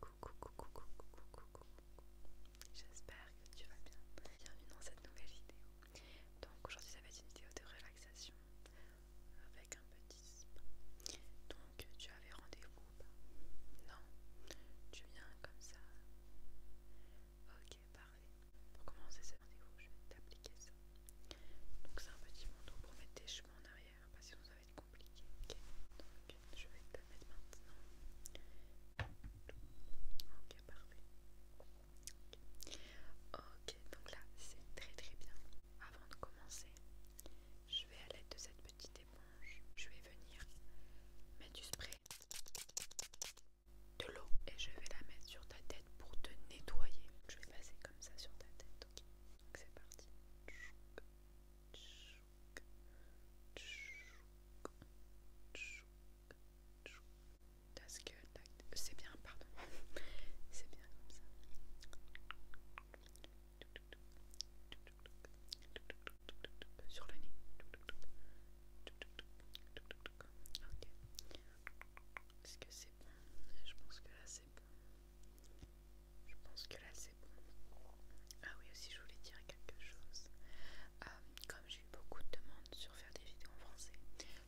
Coucou, coucou, coucou, coucou, J'espère que tu vas bien. Bienvenue dans cette nouvelle vidéo. Donc aujourd'hui ça va être une vidéo de relaxation avec un petit spa. Donc tu avais rendez-vous Non. Tu viens comme ça. Ok, parfait. Pour commencer ce rendez-vous, je vais t'appliquer ça. Donc c'est un petit manteau pour mettre tes cheveux en arrière, parce compliqué. Donc je vais te le mettre maintenant. Ok, parfait. ok, donc là c'est très très bien. Avant de commencer, je vais à l'aide de cette petite éponge, je vais venir mettre du spray, de l'eau et je vais la mettre sur ta tête pour te nettoyer. Je vais passer comme ça sur ta tête, Donc c'est parti. C'est bien, pardon. C'est bien comme ça. Sur le nez. Ok. Est-ce que c'est bon Je pense que là c'est bon. Je pense que là c'est bon. Ah oui aussi je voulais dire quelque chose. Euh, comme j'ai eu beaucoup de demandes sur faire des vidéos en français,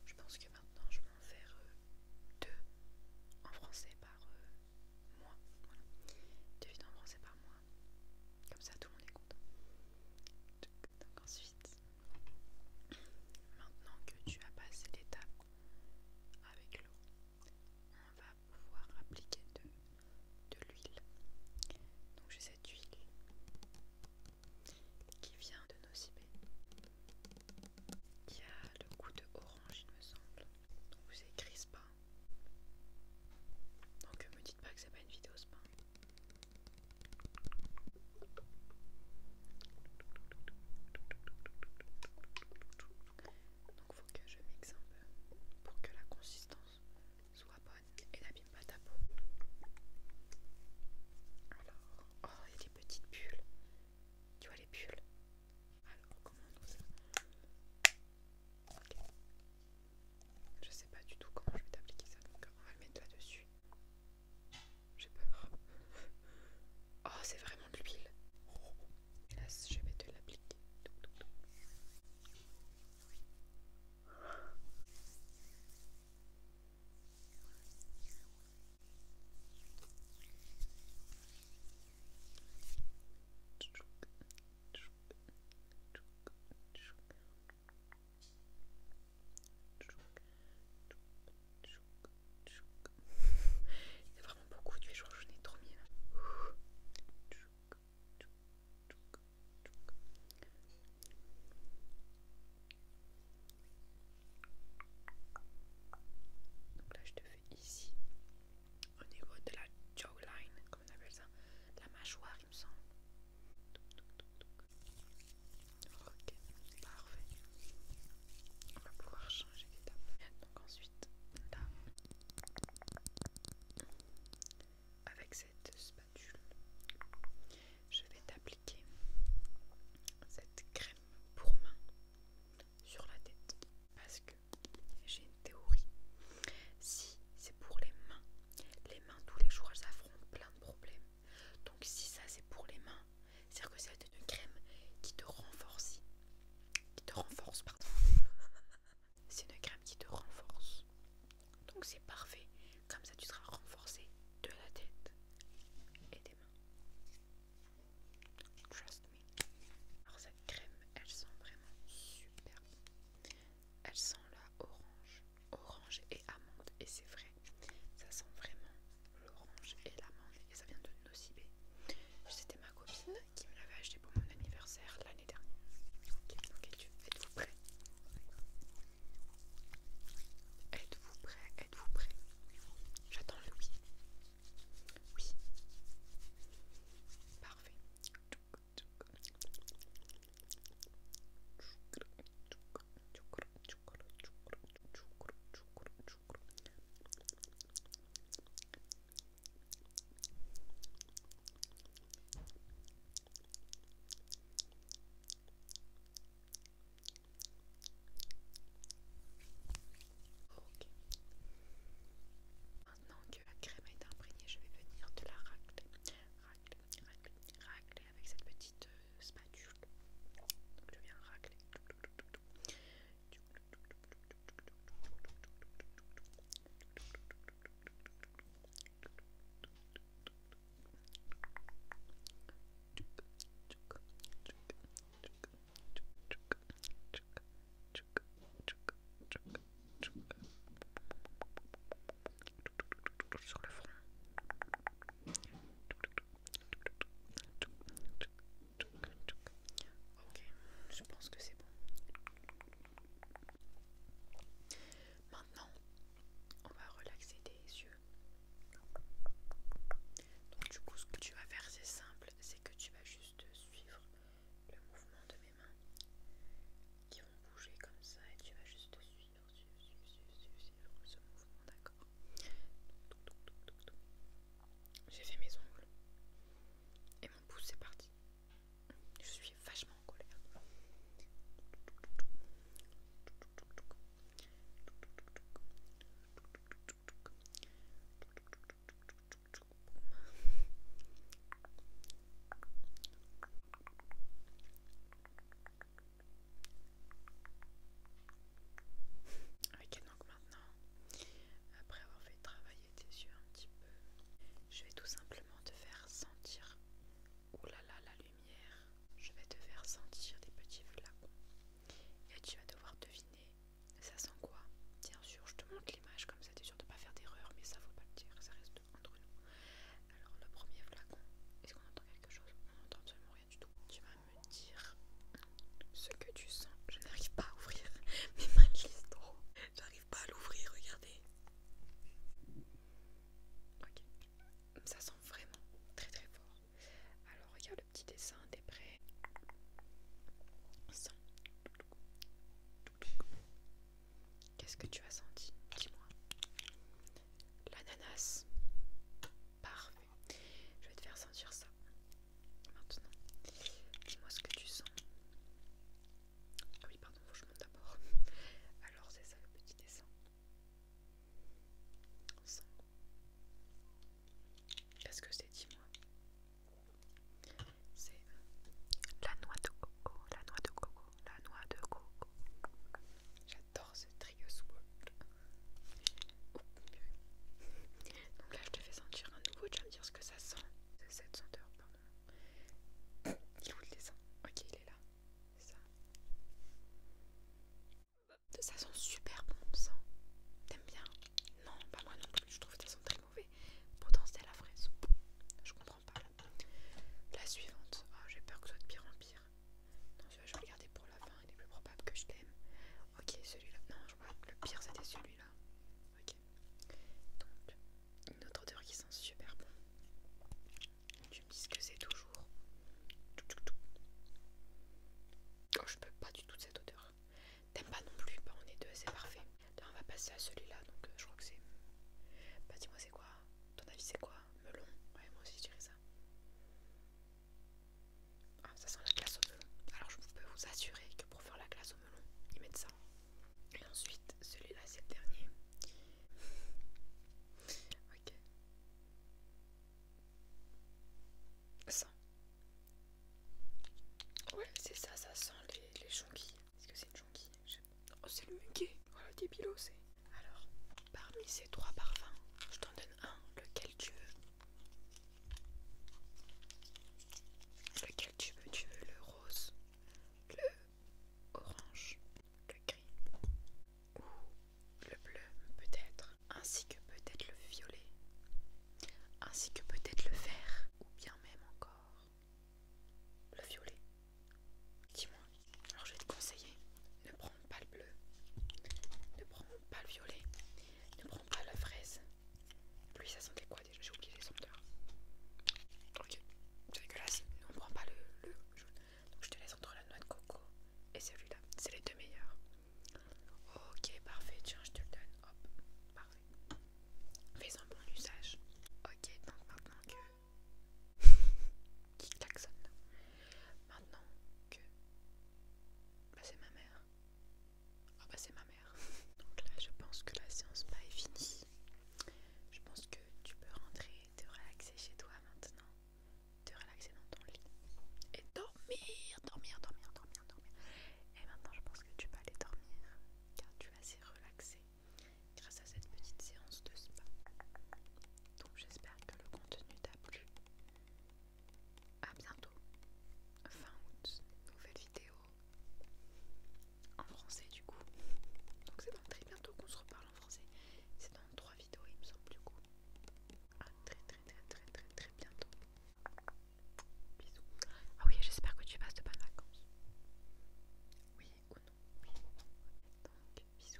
je pense que maintenant je vais en faire deux en français par euh, mois. Voilà. Deux vidéos en français par mois. Comme ça tout le monde est content. Donc ensuite, maintenant que tu as passé l'étape avec l'eau, on va pouvoir appliquer de, l'huile. Donc j'ai cette huile qui vient de Nocibé, qui a le goût de orange il me semble. Donc c'est pas hein. Donc me dites pas que c'est pas une vidéo pain Donc faut que je mixe un peu pour que la consistance soit bonne et n'abîme pas ta peau. Alors, oh, il y a des petites bulles. Tu vois les bulles Alors, comment on ça Je sais pas du tout comment je vais t'appliquer ça, donc on va le mettre là-dessus. J'ai peur. Oh, c'est vraiment de l'huile. je vais te l'appliquer. Il y a vraiment beaucoup joueurs. je donc là, je te fais ici, au niveau de la jawline, comme on appelle ça, de la mâchoire, il me semble. Ok, parfait. On va pouvoir changer d'étape. Donc ensuite, là, avec cette spatule, je vais t'appliquer cette crème pour main sur la tête parce que j'ai une théorie. Si c'est pour les mains, les mains tous les jours elles affrontent plein de problèmes. Donc si ça c'est pour les mains, c'est-à-dire que c'est une crème qui te renforce, qui te renforce, pardon c'est une crème qui te renforce. Donc c'est parfait. Comme ça, tu seras renforcé de la tête et des mains. Trust me. Alors cette crème, elle sent vraiment super Elle sent la orange, orange et amande. Et c'est vrai, ça sent vraiment l'orange et l'amande. Et ça vient de Nocibé. C'était ma copine qui me l'avait acheté pour mon anniversaire l'année dernière. Ok, donc êtes-vous Êtes-vous prêts Êtes-vous prêt? J'attends le oui. Oui. Parfait. Ok. Maintenant que la crème est imprégnée, je vais venir de la racler, racler, racler, racler avec cette petite euh, spatule. Donc je viens racler sur le front. Ok, je pense que c'est bon. Maintenant, on va relaxer tes yeux. Donc du coup, ce que tu vas faire, c'est simple, c'est que tu vas juste suivre le mouvement de mes mains qui vont bouger comme ça et tu vas juste suivre, ce mouvement, d'accord J'ai fait mes ongles et mon pouce, c'est parti. Je suis vachement en colère. Ok, donc maintenant, après avoir fait travailler tes yeux un petit peu. Je vais tout simplement te faire sentir, oh là là, la lumière, je vais te faire sentir des petits flacons. Et tu vas devoir deviner, ça sent quoi Bien sûr, je te montre l'image comme ça, t'es sûr de ne pas faire d'erreur, mais ça faut pas le dire, ça reste entre nous. Alors le premier flacon, est-ce qu'on entend quelque chose On entend absolument rien du tout. Tu vas me dire ce que tu sens. Je n'arrive pas à ouvrir mes mains glissent trop pas l'ouvrir, regardez. Ok, ça sent vraiment très très fort. Alors regarde le petit dessin des prêt. Qu'est-ce que tu as senti Dis-moi. L'ananas. Parfait. Je vais te faire sentir ça. Maintenant, dis-moi ce que tu sens. Ah oui, pardon, faut que je monte d'abord. Alors, c'est ça le petit dessin. Ça. Qu'est-ce que c'est, dis-moi C'est la noix de coco, la noix de coco, la noix de coco. J'adore ce trio swatch. Donc là, je te fais sentir un nouveau. Tu vas me dire ce que ça sent. C'est cette senteur. Il est où le dessin Ok, il est là. Ça. ça sent super bon, ça. T'aimes bien Non, pas moi non plus. Je trouve que ça sent très mauvais. Potentiel à la fraise. Je comprends pas. La suivante. Oh, j'ai peur que ce soit de pire en pire. Non, je vais regarder garder pour la fin. Il est plus probable que je t'aime Ok, celui-là. Non, je le pire, c'était celui-là. Ok. Donc, une autre odeur qui sent super bon. Tu me dis que c'est toujours. Oh, je peux pas du tout de cette odeur. T'aimes pas non plus Bah, on est deux, c'est parfait. on va passer à celui-là, donc euh, je crois que c'est. Bah, dis-moi, c'est quoi Ton avis, c'est quoi Melon Ouais, moi aussi, je dirais ça. Ah, ça sent la glace au melon. Alors, je peux vous assurer que pour faire la glace au melon, ils mettent ça. Hein. Et ensuite, celui-là, c'est le dernier. ok. ça Ouais, c'est ça, ça sent les, les jonquilles. Est-ce que c'est une jonquille Oh, c'est le muguet Oh, le débilo, c'est... Alors, parmi ces trois parfums, je t'en donne un, lequel tu veux. Lequel tu veux Tu veux le rose, le orange, le gris ou le bleu peut-être, ainsi que peut-être le violet, ainsi que peut-être le vert ou bien même encore le violet. Dis-moi, alors je vais te conseiller, ne prends pas le bleu, ne prends pas le violet, ne prends pas la fraise. Plus ça sentait quoi déjà J'ai oublié les sons Ok, c'est là, si on prend pas le, le jaune. je te laisse entre la noix de coco et celui-là. C'est les deux meilleurs. Ok, parfait. Tiens, je te le donne. Hop, parfait. Fais un bon usage. Ok, donc maintenant que. Qui Maintenant que. Bah, c'est ma mère. Ah, bah, c'est ma mère. Donc là, je pense que la séance pas est finie. Je pense que tu peux rentrer te relaxer chez toi maintenant, te relaxer dans ton lit et dormir, dormir, dormir, dormir, dormir. Et maintenant, je pense que tu vas aller dormir car tu vas assez relaxé grâce à cette petite séance de spa. Donc, j'espère que le contenu t'a plu. À bientôt, fin août, nouvelle vidéo en français du coup. Donc c'est dans très bientôt qu'on se reparle en français. C'est dans trois vidéos il me semble du coup. À ah, très très très très très très bientôt. Bisous. Ah oui j'espère que tu passes de bonnes vacances. Oui ou non Donc bisous.